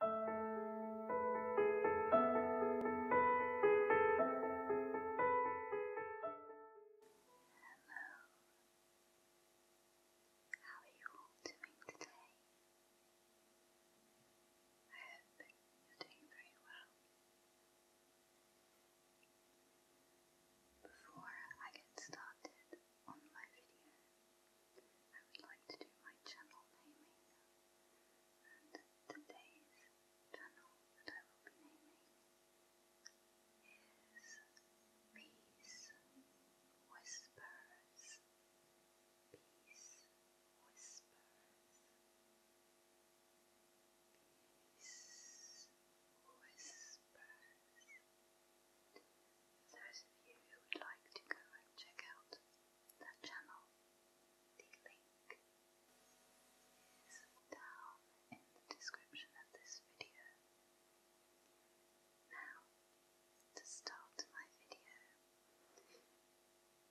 Hello. How are you all doing today? I hope you doing very well. Before I get started, on my video. I would like to do my channel naming, and today's channel that I will be naming is Peace Whispers. Peace Whispers. Peace Whispers. For those of you who would like to go and check out that channel, the link is down in the description of this video. Now, to start my video,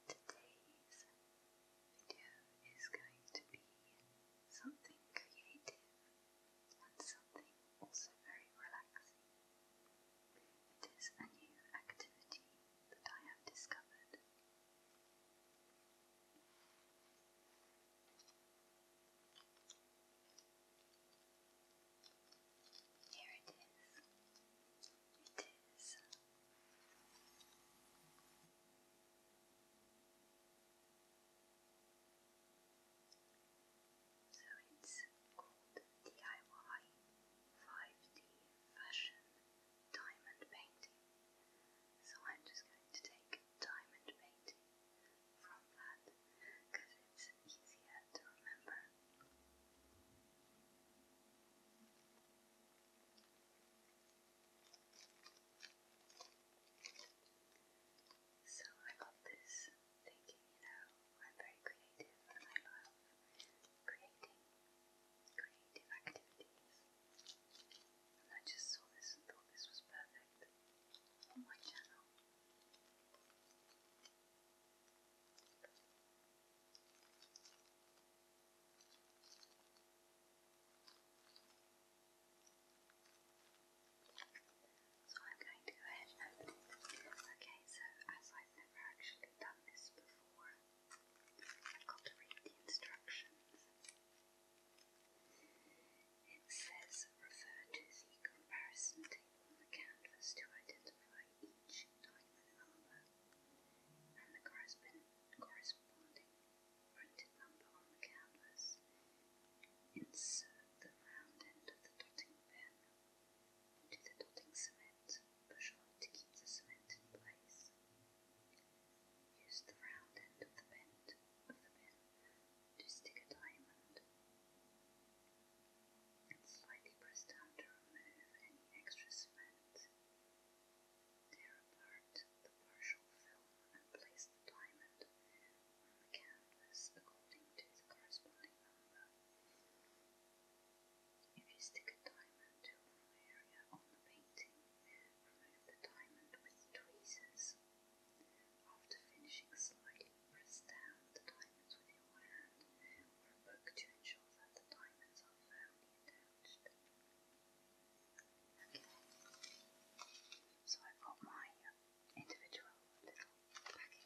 today's video is going to be something creative and something also very relaxing. It is a new activity that I have discovered. Here it is. It is so it's called DIY 5D Fashion Diamond Painting. So I'm just going to take diamond painting from that because it's easier to remember. So I got this thinking, you know, I'm very creative and I love creating creative activities. And I just saw this and thought this was perfect on my channel. So I'm going to go ahead and open it. Okay, so as I've never actually done this before, I've got to read the instructions. It says refer to the comparison table on the canvas to identify each diamond number and the corresponding printed number on the canvas. Insert the round end of the dotting pen to the dotting cement push on to keep the cement in place. Use the round end of the bend of the pin to stick a diamond and slightly press down to remove any extra cement. Tear apart the partial film and place the diamond on the canvas according to the corresponding number. If you stick a diamond to a area on the painting, remove the diamond with tweezers. After finishing slightly, press down the diamonds with your hand or a book to ensure that the diamonds are firmly attached. so i got my uh, individual little packing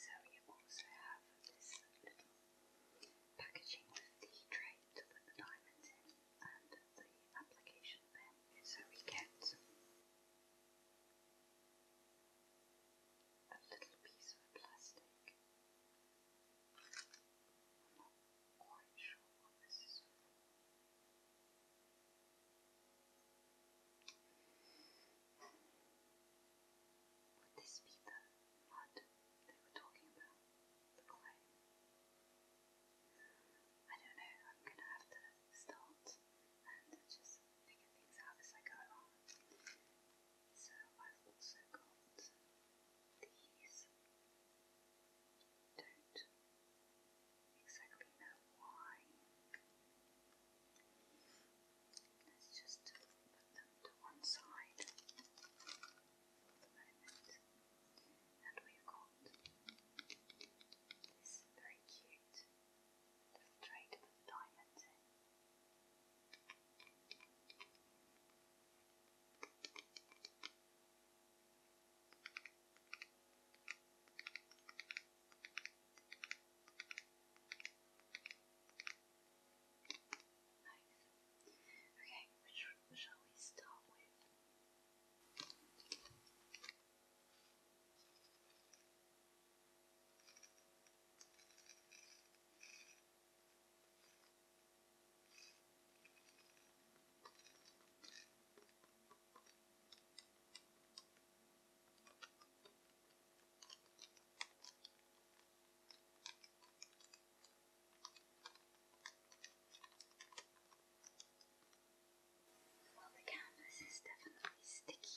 so you also have this little packaging with the tray to put the diamonds in and the application pen. So we get a little piece of plastic quite sure this is for. Would this be the mud they were talking about? I don't know, I'm gonna have to start and just figure things out as I go along. So I've also got these don't exactly know why. Let's just put them to one side for the moment. And we've got this very cute little tray with diamonds in. Nice. Okay, which one shall we start with? Well, the canvas is definitely sticky.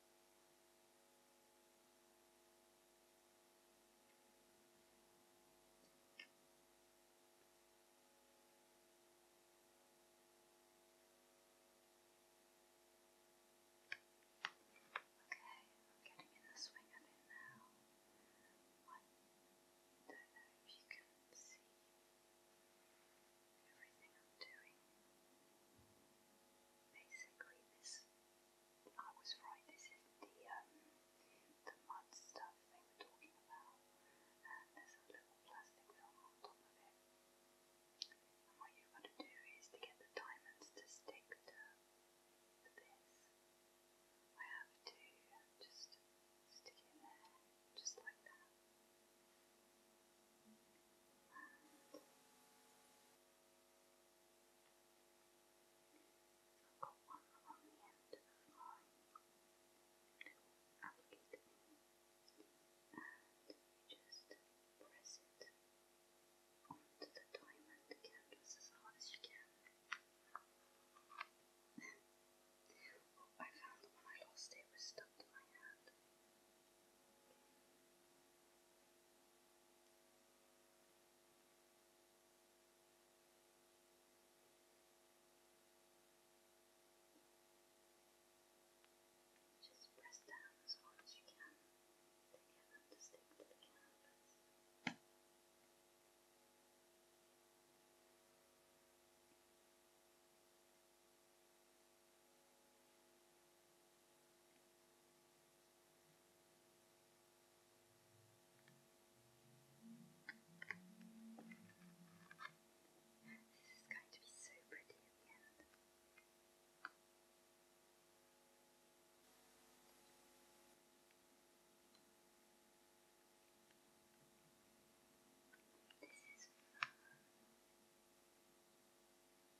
Okay, I'm getting in the swing of it now. I don't know if you can see everything I'm doing basically this, I was right, this is the, um, the mud stuff they were talking about, and there's a little plastic film on top of it. And what you've got to do is to get the diamonds to stick to, this. I have to just stick in there, just like that. I've got one on the end of my little applicator thing, and you just press it onto the diamond canvas as hard as you can. oh, I found that when I lost it, it was stuck to my hand. Just press down as hard as you can to get them to stick to the canvas. Now this is going to be so pretty at the end. This is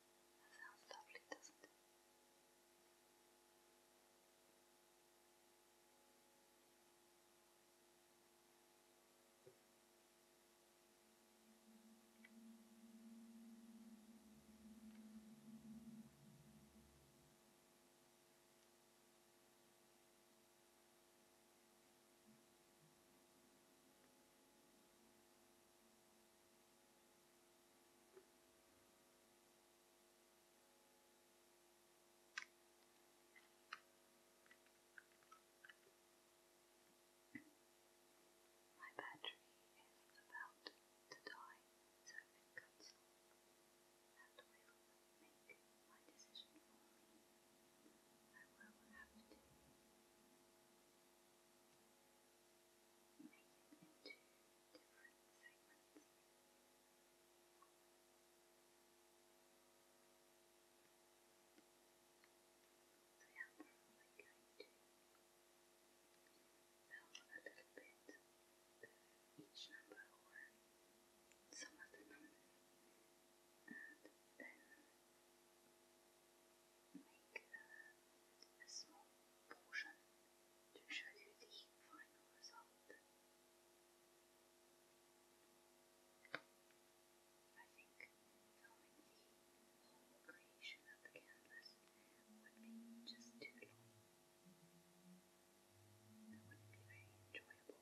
That sounds lovely, doesn't it? My battery is about to die, so if it cuts off, that will make my decision for me. I will have to. Make into different segments. So yeah, I'm probably going to film a little bit of each number or some of the numbers and then make a small portion to show you the final result. I think filming the whole creation of the canvas would be just too long. That wouldn't be very enjoyable.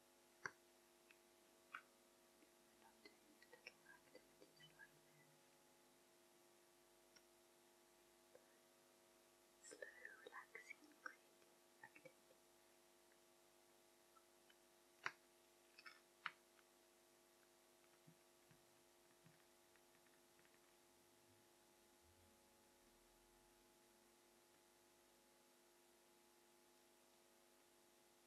love doing little activities like this. Slow, relaxing, creative activities. Thank you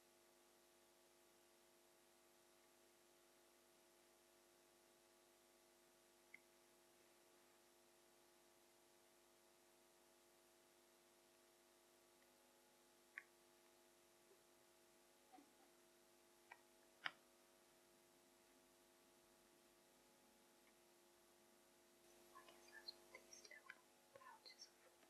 I guess that's what these little pouches are for.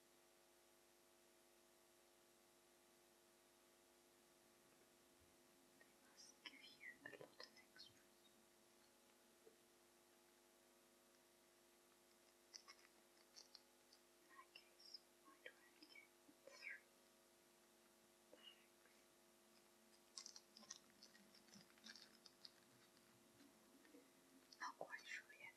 They must give you a lot of extras. In that case, you might only get three bags. quite sure yet.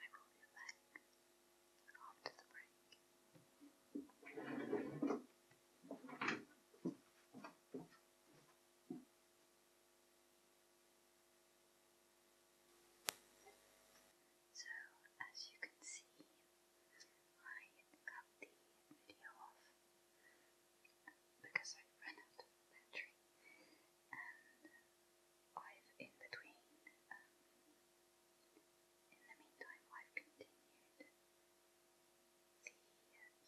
I roll your back after the break. So, as you can see, I cut the video off because I ran out of battery and I've in between, um, in the meantime I've continued the uh,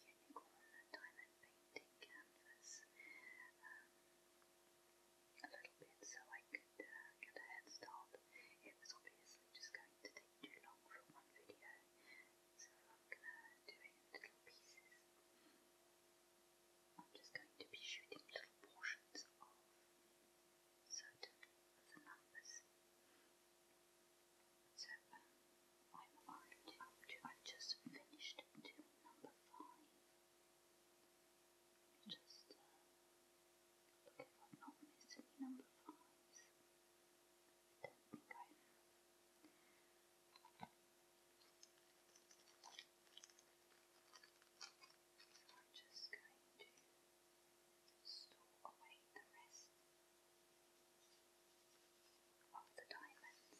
Unicorn Diamond Painting canvas um, a little bit so I could uh, get a head start. It was obviously just going to take too long for one video so I'm gonna do it in little pieces. I'm just going to be shooting little portions of certain of numbers. So I'm up to, i just finished doing number five. Just uh, look if I've not missed any number fives kind of. I'm just going to store away the rest of the diamonds.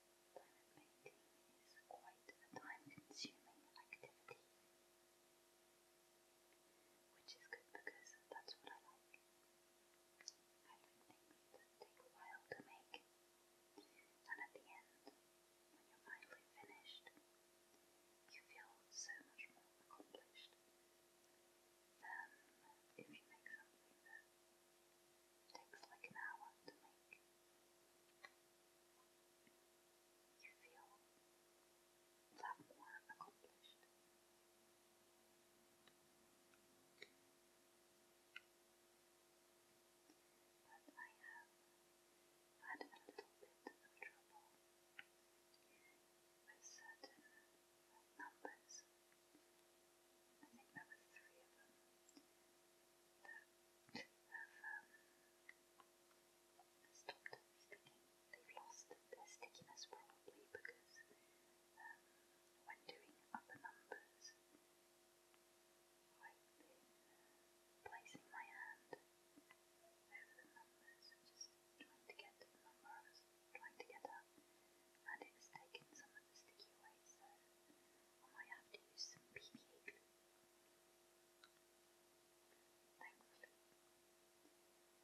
Diamond painting is quite a time consuming activity, which is good because that's what I like. I like things that a while to make, and at the end, when you're finally finished, you feel so much more accomplished than if you make something that takes like an hour to make you feel a more accomplished. But I have had a little bit of trouble with certain numbers. I think there three of them um, stopped sticking. They've lost their stickiness probably because when doing other numbers, I've placing my hand over the numbers, just trying to get the number trying to get at, and it's taken some of the sticky away, so I might have to use some PPA Thankfully,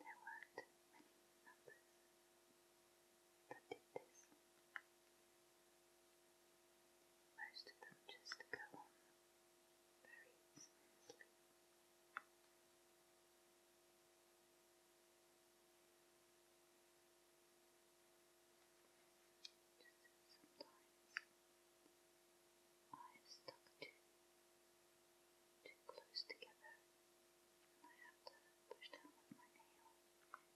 there weren't many numbers that did this. Most of them just go on very smoothly. Just sometimes I have stuck too, too close together, and I have to push down with my nail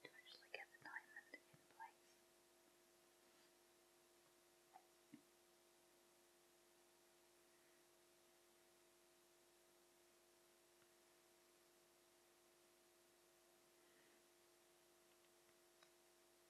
to actually get the diamond in place.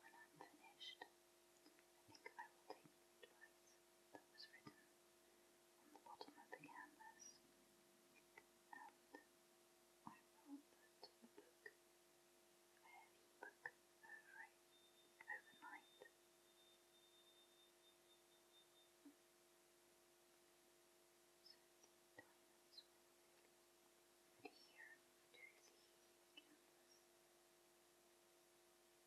When I'm finished, I think I will take the advice that was written on the bottom of the canvas, and I will put a book, a heavy book, over overnight. So the diamonds will adhere to the canvas.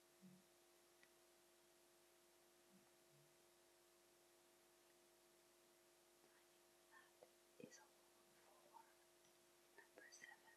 that is all for number seven.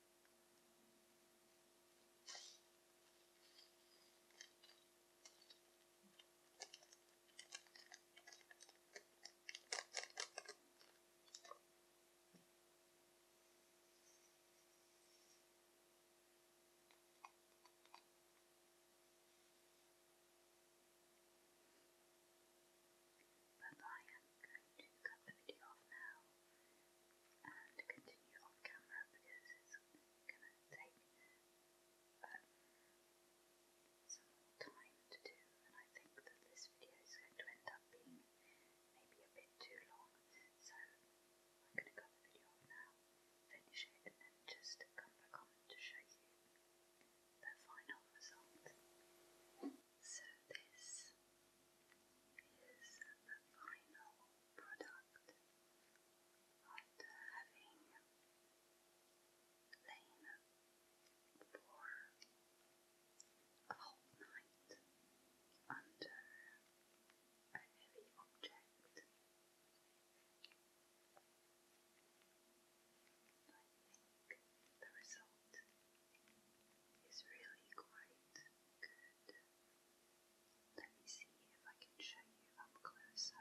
But I am going to cut the video off now and continue off camera because it's going to take uh, some more time to do, and I think that this video is going to end up being maybe a bit too long, so I'm going to cut the video now, finish it, and then just come back on to show you the final result. So this is the final product after having lain for a whole night under a heavy object. I think the result is really quite good. Let me see if I can show you up closer.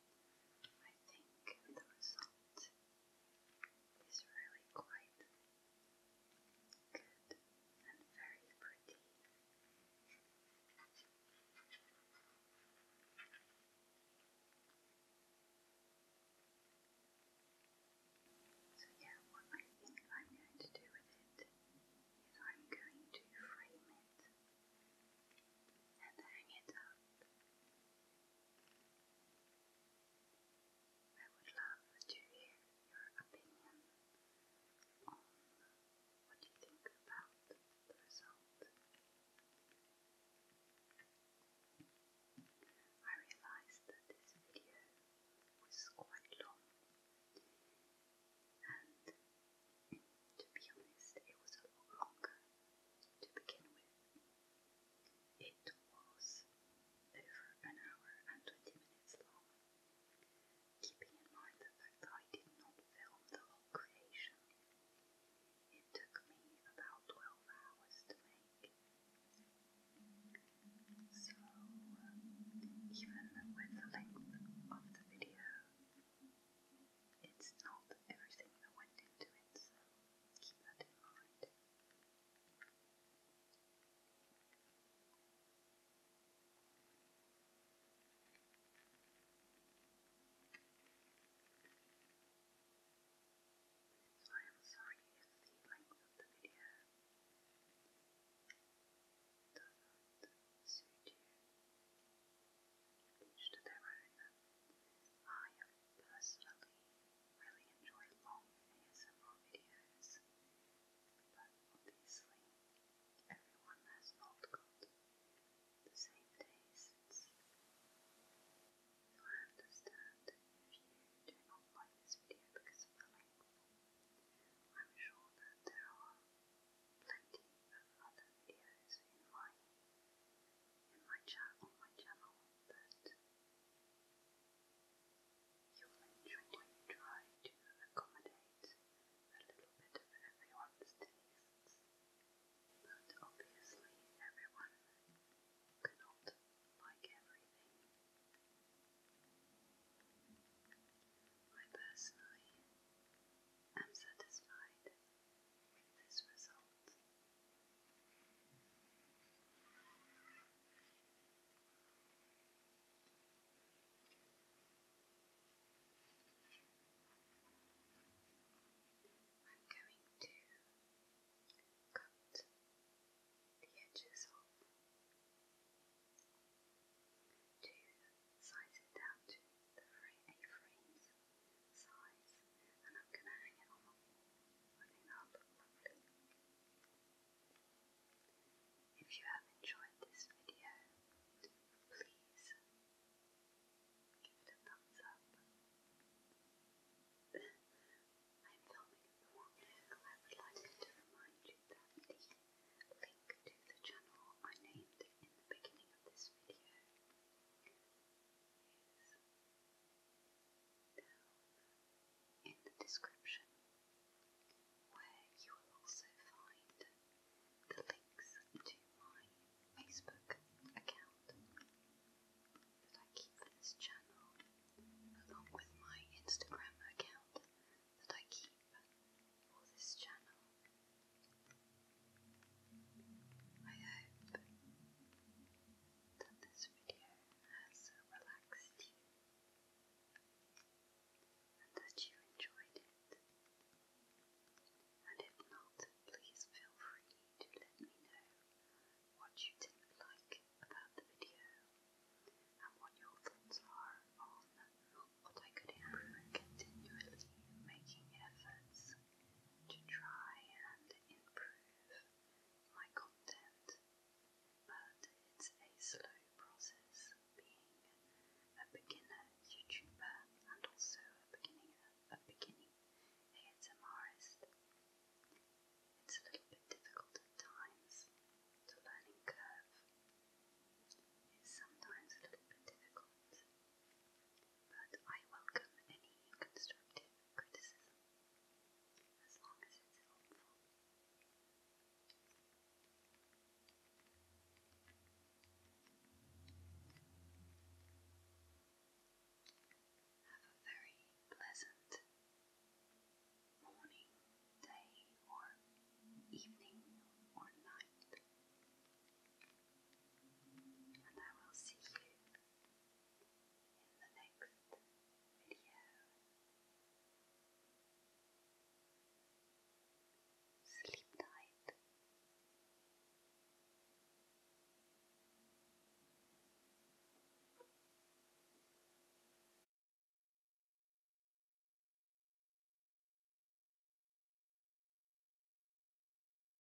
I think the result is really quite good and very pretty. So, yeah, what I think I'm going to do with it is I'm going to frame it and hang it up. I would love to hear your opinion on what you think about the result. I realized that this video was quite long and to be honest, it was a longer to begin with. It was over an hour and 20 minutes long. Keeping in mind the fact I did not film the whole creation, it took me about 12 hours to make. So, even with the length of the video, it's not everything that went into it, so keep that in mind. So I am sorry if the length of the video doesn't suit you each I personally really enjoy long ASMR videos, but obviously everyone has not tastes. I understand if you do not like this video because of the length. I'm sure that there are plenty of other videos in my in my channel, on my channel that you will enjoy when to accommodate a little bit of everyone's tastes. But obviously everyone cannot like everything. I personally am satisfied with this result. I'm going to cut the edges off to size it down to A frame size If you have enjoyed this video, please give it a thumbs up. I'm filming at the moment I would like to remind you that the link to the channel I named in the beginning of this video down in the description, where you will also find the links to my Facebook account that I keep for this channel, along with my Instagram account that I keep for this channel. I hope that this video has relaxed you and that you enjoyed it. And if not, please feel free to let me know what you didn't like about the video and what your thoughts are on what I could improve continually making efforts to try and improve my content, but it's a slow process being a beginner YouTuber and also a beginning a beginning ASMRist. It's a little bit difficult at times. The learning curve is sometimes a little bit difficult but I welcome any constructive criticism as long as it's helpful. Have a very pleasant morning, day, or evening, or night, and I will see you in the next video. Sleep tight.